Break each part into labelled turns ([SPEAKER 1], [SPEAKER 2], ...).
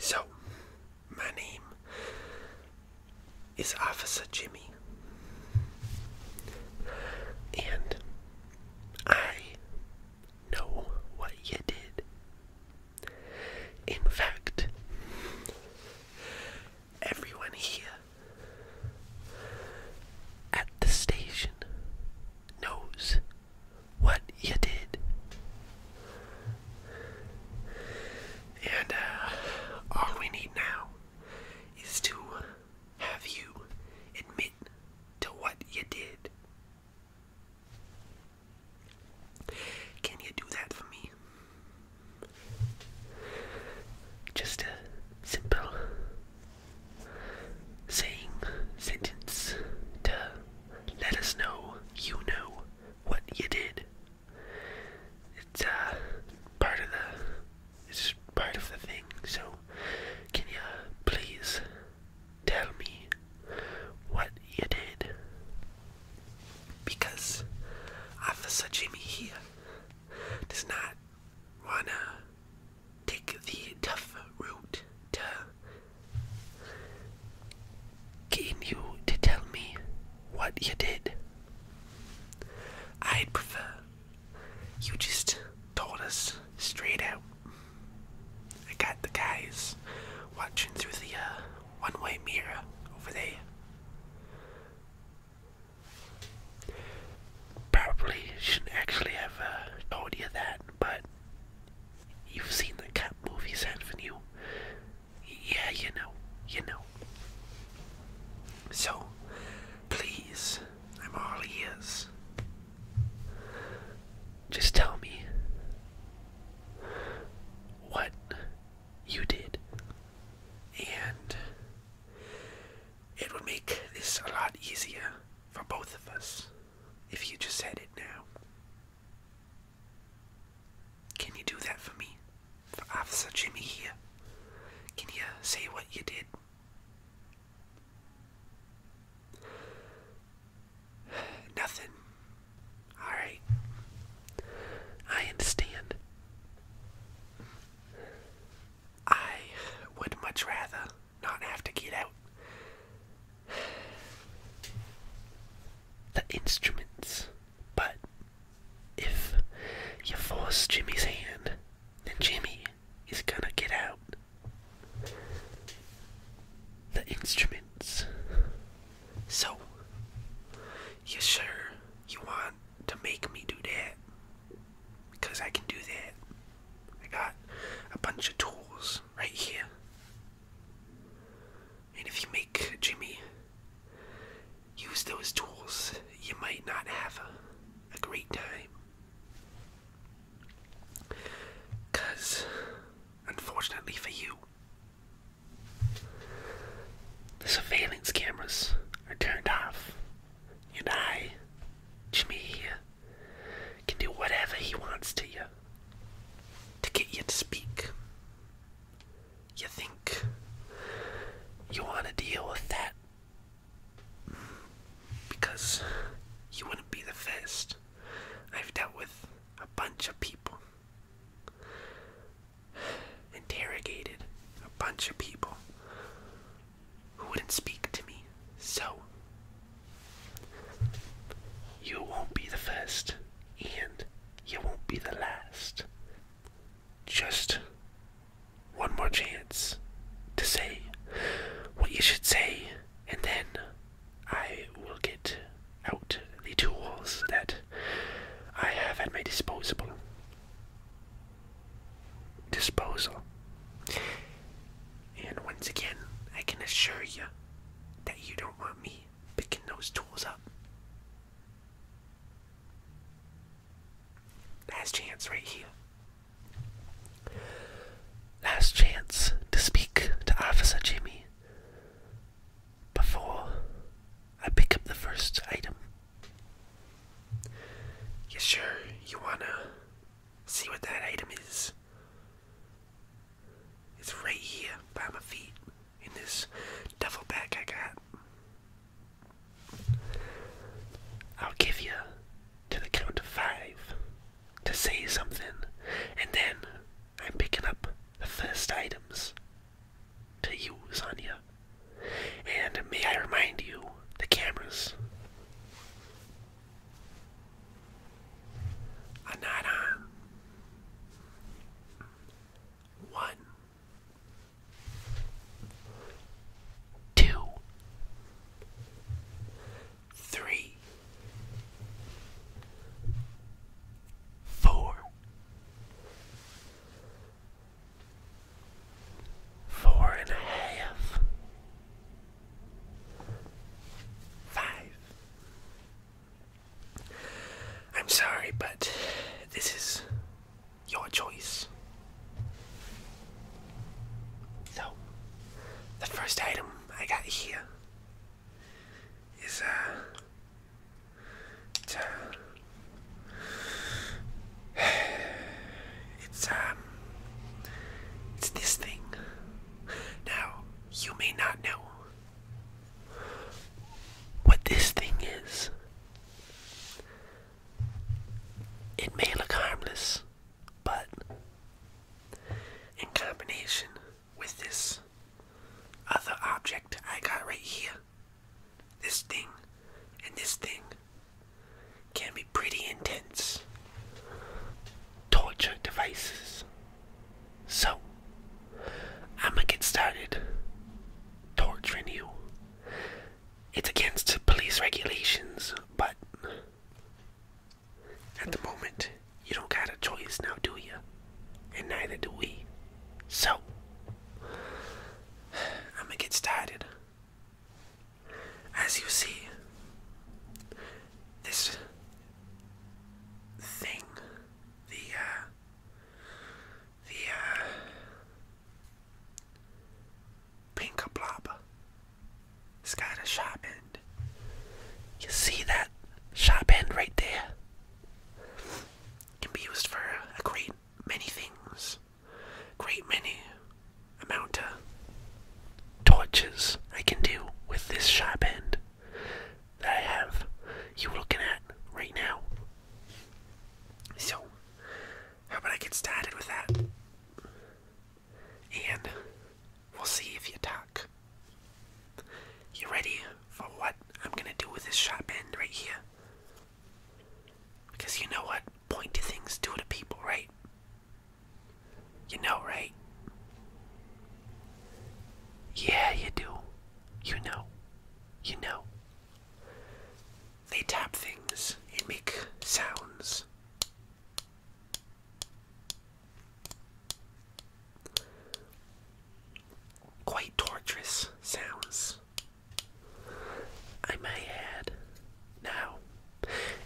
[SPEAKER 1] Hey! So, my name is Officer Jimmy. And I know what you did. In fact, everyone here at the station knows what you did. And uh, all we need now is to have you admit to what you did. Can you do that for me? Just a simple saying sentence to let us know you know what you did. It's uh part of the it's part of the thing. So can you please tell me what you did? Because Officer Jimmy here does not wanna take the tough route to. Can you to tell me what you did. I'd prefer you just told us straight out. I got the guys watching through the uh, one way mirror over there. Probably shouldn't actually have uh, told you that, but you've seen the cop movies, haven't you? Yeah, you know, you know. So, please, I'm all ears. Just tell me what you did, and it would make this a lot easier for both of us if you just said it now. Can you do that for me? for Officer Jimmy here. Can you say what you did? Nothing. Alright. I understand. I would much rather not have to get out. The instruments but if you force Jimmy's hand, then Jimmy is gonna get out the instruments. So, you sure you want to make me do that? Because I can do that. I got a bunch of tools right here. And if you make Jimmy Use those tools. You might not have a, great time. Because, unfortunately for you, the surveillance cameras are turned off. And I, Jimmy can do whatever he wants to you to get you to speak you think you want to deal with that because you wouldn't be the first. I've dealt with a bunch of people, interrogated a bunch of people who wouldn't speak to me. So, you won't be the first, and you won't be the last just one more chance to say what you should say, and then I will get out the tools that I have at my disposal. Disposal. And once again, I can assure you that you don't want me picking those tools up. Last chance right here. Last chance to speak to Officer Jimmy before I pick up the first item. You sure you wanna see what that item is? It's right here by my feet in this duffel bag I got. I'll give you to the count of five to say something, and then I'm picking up the first items to use on you. And may I remind you, the cameras are One, two, three, four, four and a half, five. I'm sorry, but this is your choice. So, the first item I got here is uh, it's, uh, um, it's this thing. Now, you may not know what this thing is. It may look harmless, but in combination with this other object I got right here, this thing and this thing can be pretty intense torture devices. So, I'm gonna get started torturing you. It's against police regulations, but at the moment, you don't got a choice now, do you? And neither do we. So, I'm gonna get started. As you see, this thing, the, uh, the uh, pink blob. It's got a sharp end. You see that sharp end right there? can be used for a great many things. Great many amount of torches I can do with this sharp end that I have you looking at right now. So how about I get started with that? And we'll see if you talk. You ready for what I'm gonna do with this sharp end right here? Because you know what pointy things do to people, right? You know, right? Yeah, you do. You know. You know. They tap things and make sounds. Quite torturous sounds, I may add. Now,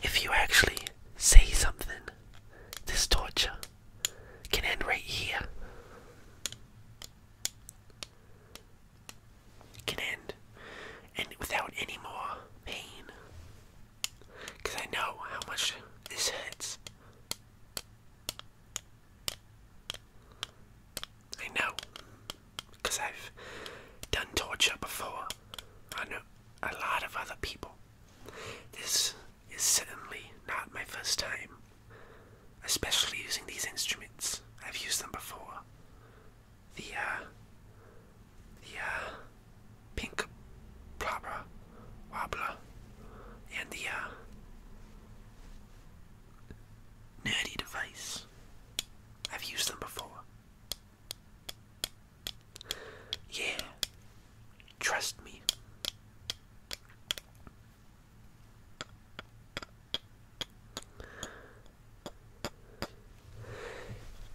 [SPEAKER 1] if you actually say something, this torture can end right here can end and without any more pain. Because I know how much this hurts. I know. Because I've done torture before on a lot of other people. This is certainly not my first time, especially using these instruments. I've used them before the uh, the uh, pink blabber wobbler and the uh, nerdy device. I've used them before. Yeah, trust me.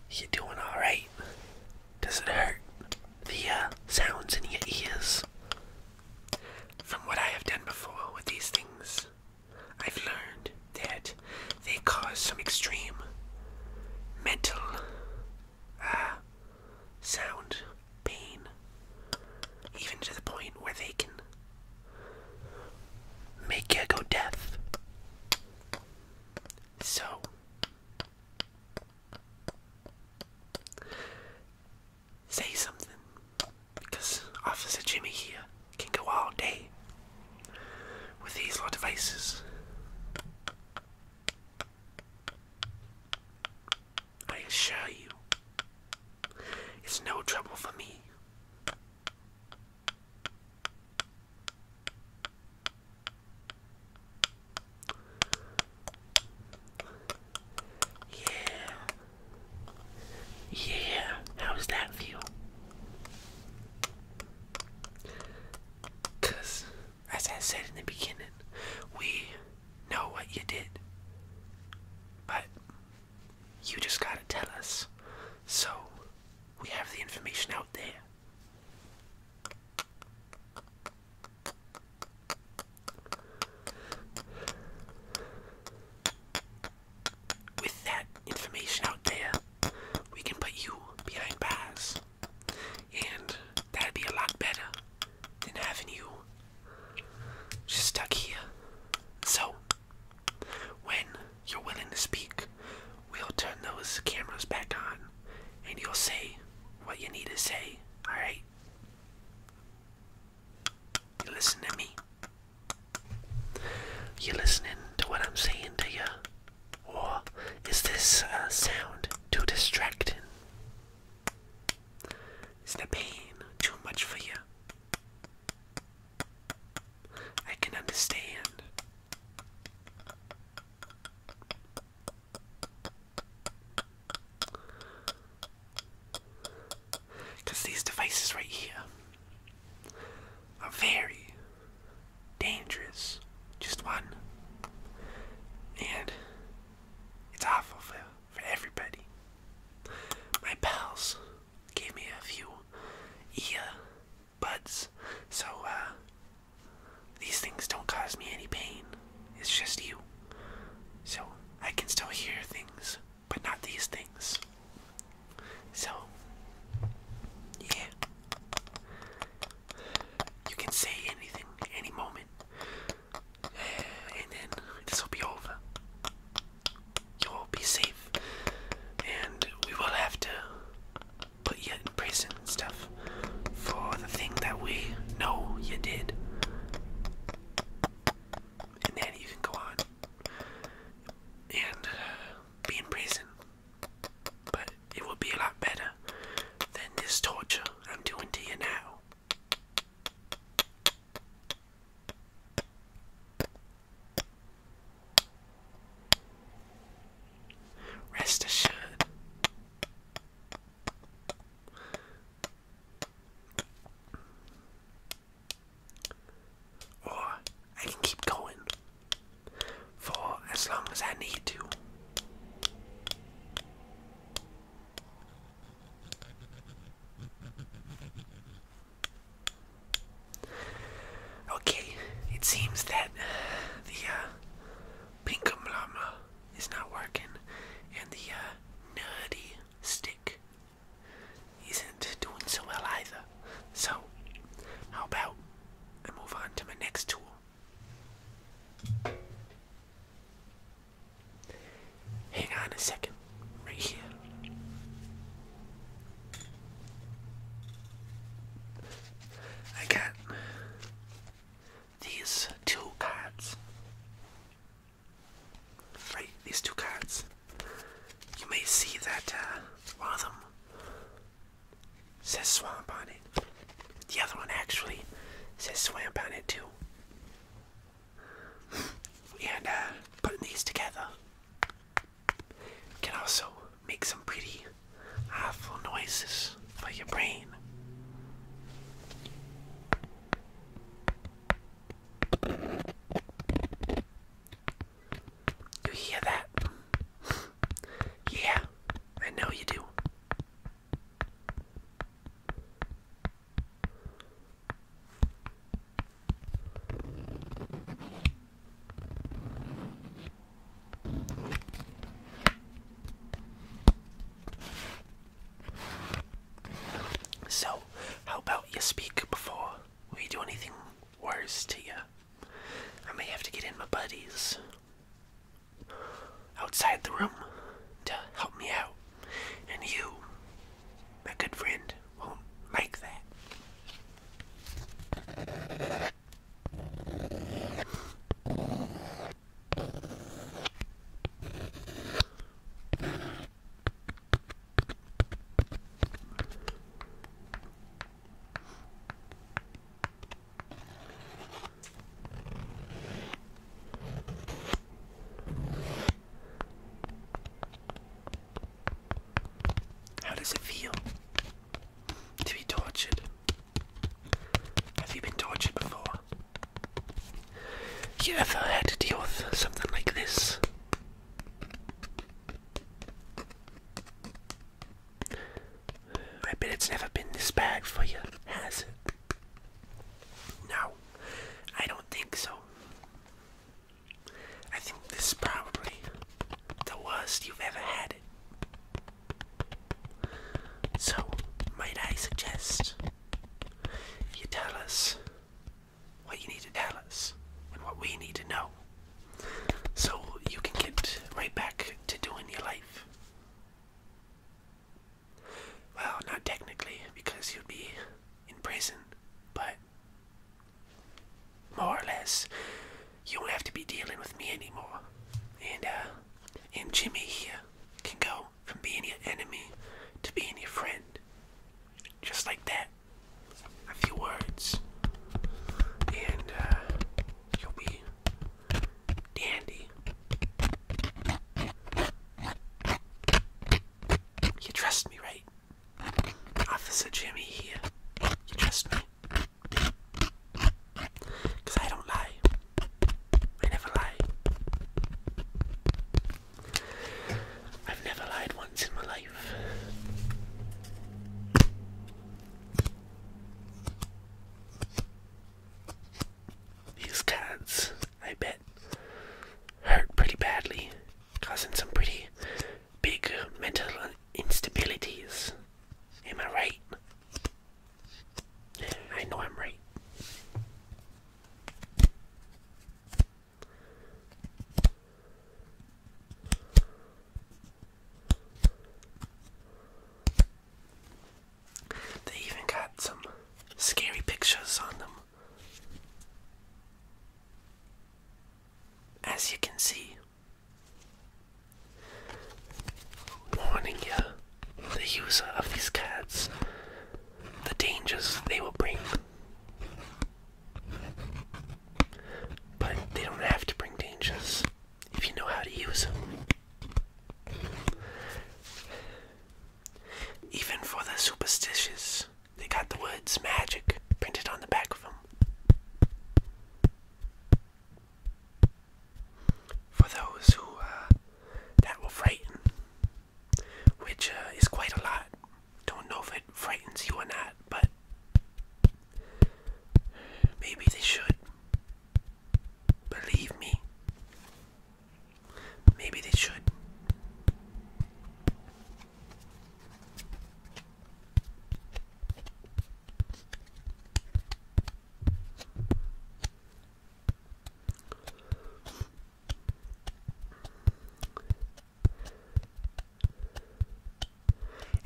[SPEAKER 1] You are doing alright? Does it hurt? The uh, sounds in your ears? From what I have done before with these things, I've learned that they cause some extreme mental uh, sound pain, even to the point where they can make you go deaf. So, say something because Officer Jimmy here can go all day with these little devices. I assure you, it's no trouble for me. Yeah. Yeah. How does that feel? Because, as I said in the beginning, we know what you did. But you just gotta tell us. So, we have the information out there. With that information out there, we can put you behind bars. And that'd be a lot better than having you just stuck here. So, when you're willing to speak, we'll turn those cameras back on and you'll say what you need to say, alright? You listen to me. You listening to what I'm saying to you? Or is this uh, sound too distracting? Is the pain too much for you? I can understand. Because these devices right here are very dangerous. Just one. And it's awful for, for everybody. My pals gave me a few yeah buds. So, uh, these things don't cause me any pain. It's just you. So, I can still hear things, but not these things. So, yeah. You can say anything, any moment. And then this will be over. You'll be safe. And we will have to put you in prison and stuff for the thing that we know you did. And then you can go on and be in prison. But it will be a lot better than this torture I'm doing to you now. Rest assured. Or I can keep going for as long as I need to. Okay, it seems that the uh, pinkamblama is not working, and the uh, nerdy stick isn't doing so well either. So, how about I move on to my next tool? Hang on a second, right here. I got these two cards. Right, these two cards. You may see that uh, one of them says swamp on it. The other one actually says swamp on it too. And uh, putting these together, can also make some pretty awful noises for your brain. You hear that? yeah, I know you do. So, how about you speak before we do anything worse to you? I may have to get in my buddies outside the room to help me out, and you, my good friend, won't like that. How does it feel to be tortured? Have you been tortured before? You ever had to deal with something like this? I bet it's never been this bad for you, has it? No, I don't think so. I think this probably the worst you've ever had it. So, might I suggest you tell us what you need to tell us and what we need to know so you can get right back to doing your life? Well, not technically, because you'd be in prison, but more or less, you don't have to be dealing with me anymore. And uh, and Jimmy here can go from being your enemy to being your friend. Just like that. A few words. And uh, you'll be dandy. You trust me, right? Officer Jimmy here. You trust me. Cause I don't lie. I never lie. I've never lied once in my life. These cards, I bet, hurt pretty badly, causing some pretty big mental instabilities. Am I right? I know I'm right. They even got some scary pictures on them. As you can see, warning you, the user of these cards, the dangers they will bring. But they don't have to bring dangers if you know how to use them. Even for the superstitious, they got the words magic printed on the back of them for those who uh, that were frightened, which uh, is quite a lot. Don't know if it frightens you or not, but maybe they should. Believe me, maybe they should.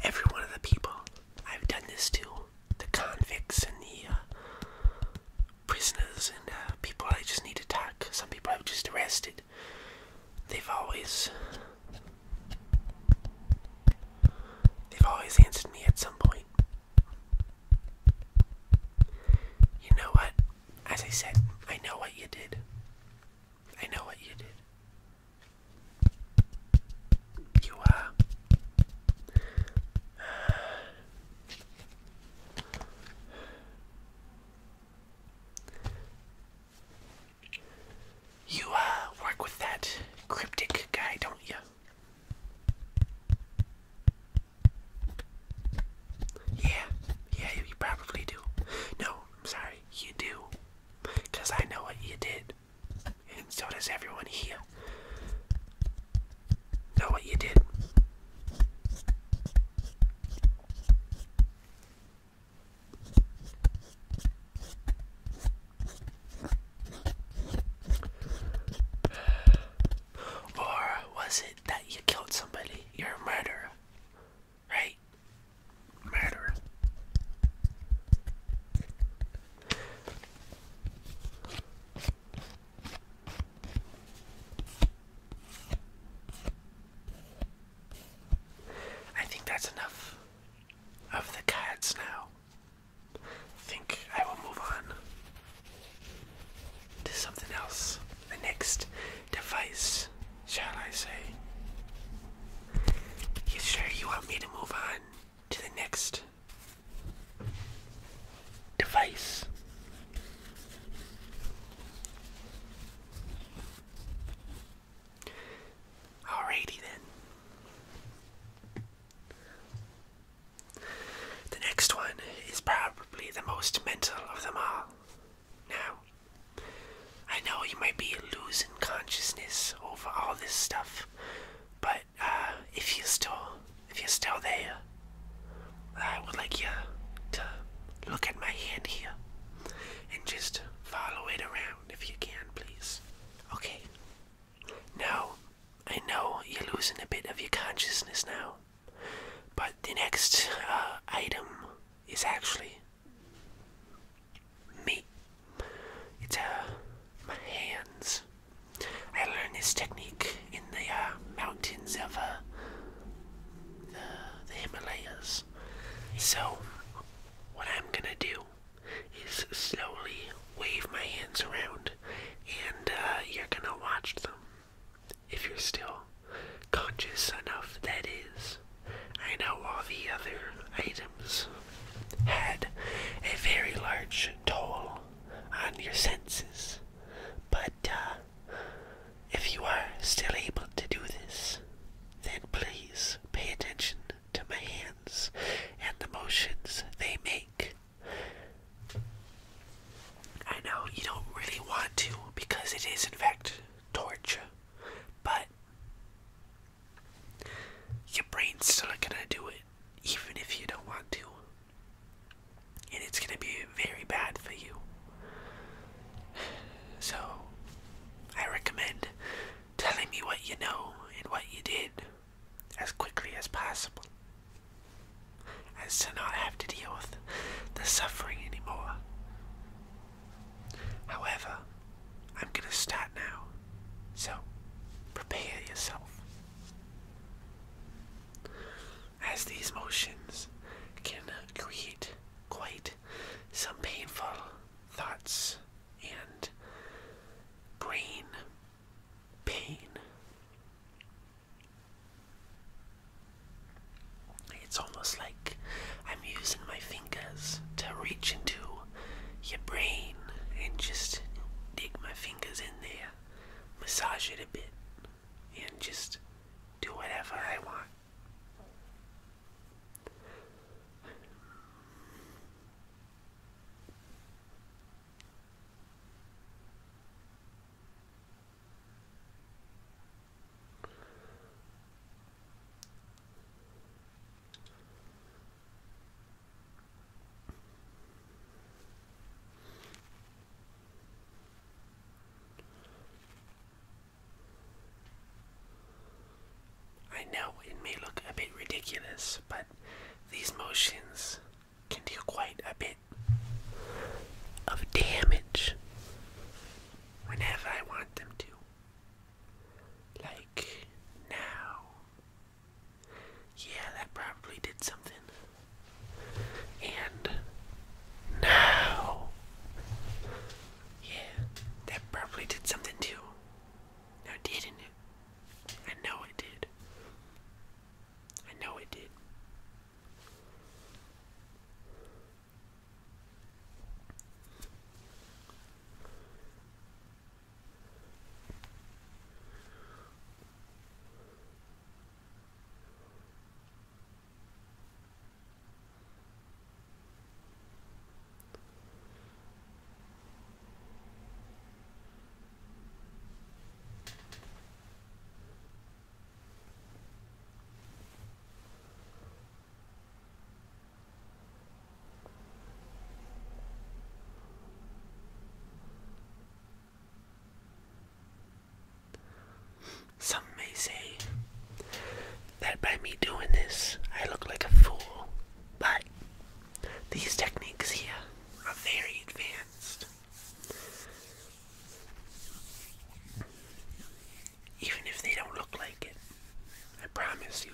[SPEAKER 1] Every one of the people I've done this to, the convicts and the uh, prisoners and uh, people I just need to talk, some people I've just arrested, they've always They've always answered me at some point. You know what? As I said, I know what you did. I know what you did. You, uh. You uh work with that cryptic guy, don't you? Yeah, yeah, you probably do. No, I'm sorry, you do. Because I know what you did. And so does everyone here. Know what you did. Or was it that you killed somebody? You're a murderer. Right? Murderer. I think that's enough of the cats now think I will move on to something else. The next device, shall I say? You sure you want me to move on to the next device? Alrighty then. The next one is probably the most mental of them all. Now, I know you might be losing consciousness over all this stuff, but uh, if you still, if you're still there, I would like you to look at my hand here and just follow it around if you can, please. Okay, now, I know you're losing a bit of your consciousness now, but the next uh, item is actually me. It's uh, my hands. I learned this technique in the uh, mountains of uh, the, the Himalayas. So, what I'm gonna do is slowly wave my hands around and uh, you're gonna watch them. If you're still conscious enough, that is. I know all the other items had a very large toll on your senses, but uh, if you are still able to do this, then please pay attention to my hands and the motions they make I know you don't really want to because it is, in fact, torture, but your brain's still gonna do it even if you don't want to, and it's gonna be very bad for you. So, I recommend telling me what you know and what you did as quickly as possible, and to not have to deal with the suffering anymore. However, I'm going to start now, so prepare yourself. As these motions can create quite some painful thoughts and brain pain. It's almost like I'm using my fingers to reach into your brain and just dig my fingers in there, massage it a bit, and just do whatever I want. I know it may look a bit ridiculous, but these motions can do quite a bit of damage whenever I want them to. Like now. Yeah, that probably did something. And now. Yeah, that probably did something too. Now, didn't it? I know it did. I know it did. Some may say that by me doing this, I look like a fool, but these techniques here are very advanced. Even if they don't look like it, I promise you.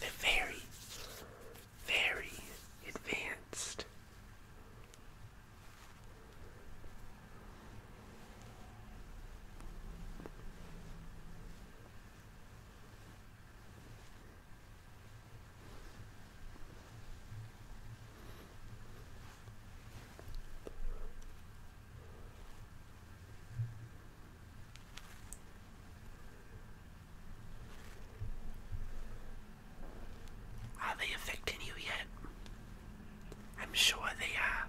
[SPEAKER 1] They're very, very advanced. Are they affecting you yet? I'm sure they are.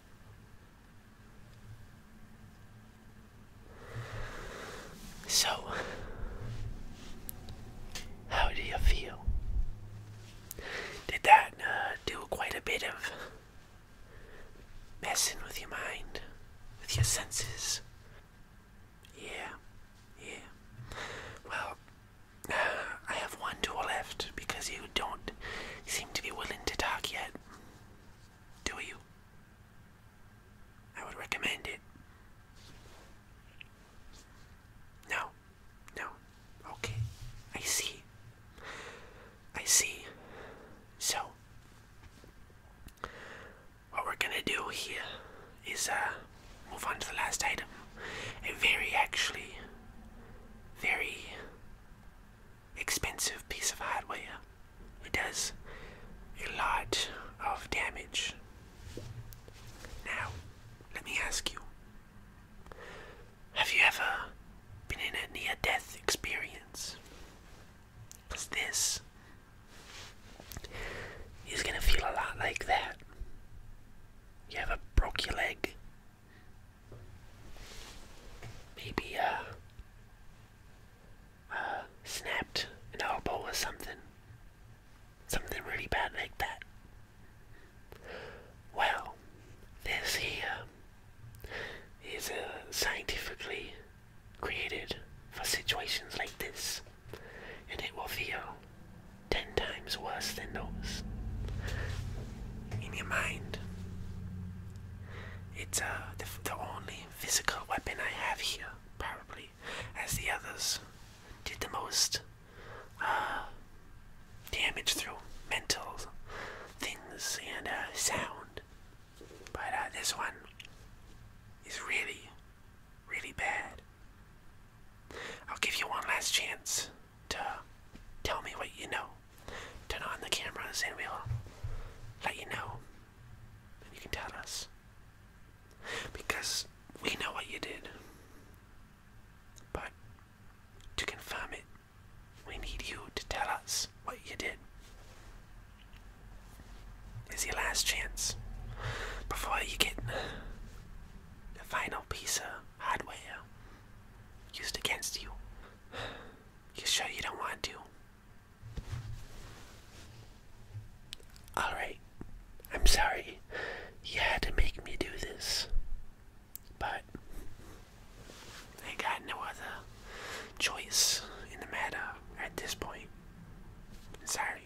[SPEAKER 1] So, how do you feel? Did that uh, do quite a bit of messing with your mind, with your senses? Yeah, yeah. Well, uh, I have one tool left because you don't seem to be willing to talk yet do you? I would recommend it. No, no, okay, I see. I see. So, what we're gonna do here is uh, move on to the last item. A very, actually, very expensive piece of hardware. It does a lot of damage. Now, let me ask you have you ever been in a near death experience? this is going to feel a lot like that. You ever broke your leg? Maybe, uh, snapped an elbow or something. Something really bad like that. Well, this here is uh, scientifically created for situations like this, and it will feel ten times worse than those. In your mind, it's uh, the only physical weapon I have here, probably, as the others did the most uh, damage through mental things and uh, sound. But uh, this one is really, really bad. I'll give you one last chance to tell me what you know. Turn on the cameras and we'll let you know and you can tell us. Because we know what you did. But to confirm it, we need you to tell us what you did. It's your last chance before you get the final piece of hardware used against you. You sure you don't want to? Alright, I'm sorry you had to make me do this, but I got no other choice in the matter at this point. Sorry.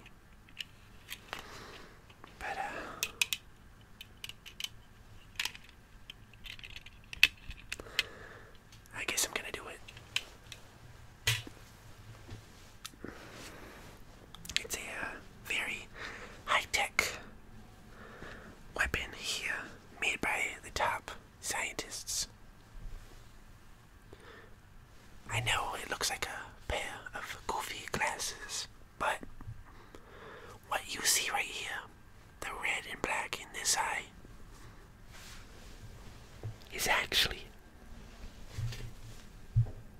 [SPEAKER 1] But, uh. I guess I'm gonna do it. It's a uh, very high-tech weapon here, made by the top scientists. I know it looks like a pair of goofy glasses, but what you see right here, the red and black in this eye, is actually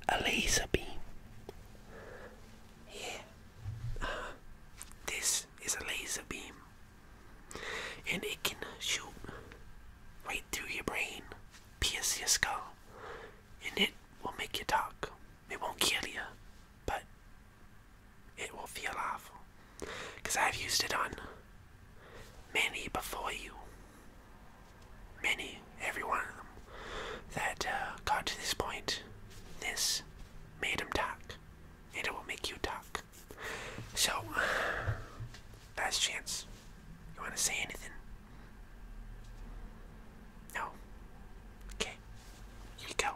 [SPEAKER 1] a laser beam. Yeah, uh-huh. this is a laser beam, and it can shoot right through your brain, pierce your skull, and it will make you talk. It won't kill you, but it will feel awful. Because I've used it on many before you, many, every one of them, that uh, got to this point. This made them talk, and it will make you talk. So, last chance. You want to say anything? No. Okay. Here you go.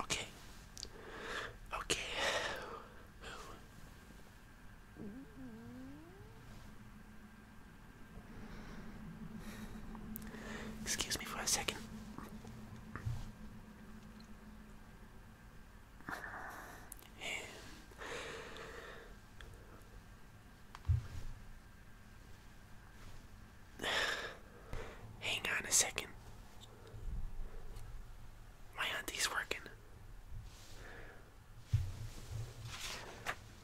[SPEAKER 1] Okay. Okay. Excuse me for a second. Hang on a second. My auntie's working.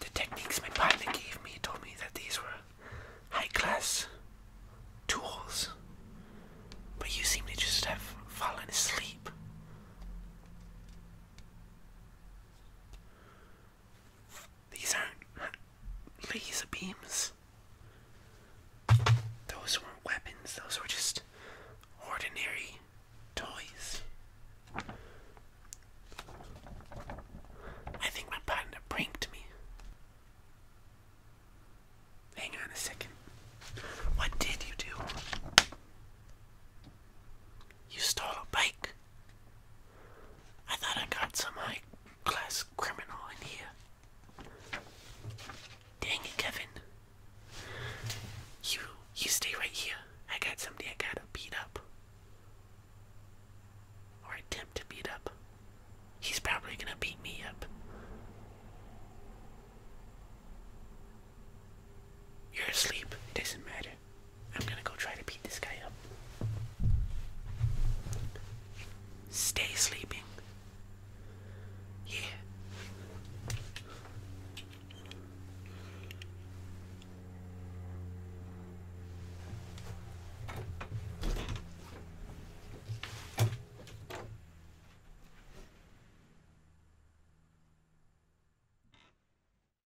[SPEAKER 1] The techniques my partner gave me told me that these were high class tools, but you seem to just have fallen asleep. These aren't laser beams. Those weren't weapons, those were just ordinary toys. I think my partner pranked me. Hang on a second. What did you do? You stole a bike. I thought I got some high class criminal in here. Dang it, Kevin. You you stay right here. I got somebody I gotta beat up. Or attempt to beat up. He's probably gonna beat me up. You're asleep, it doesn't matter. I'm gonna go try to beat this guy up. Stay sleeping. Yeah.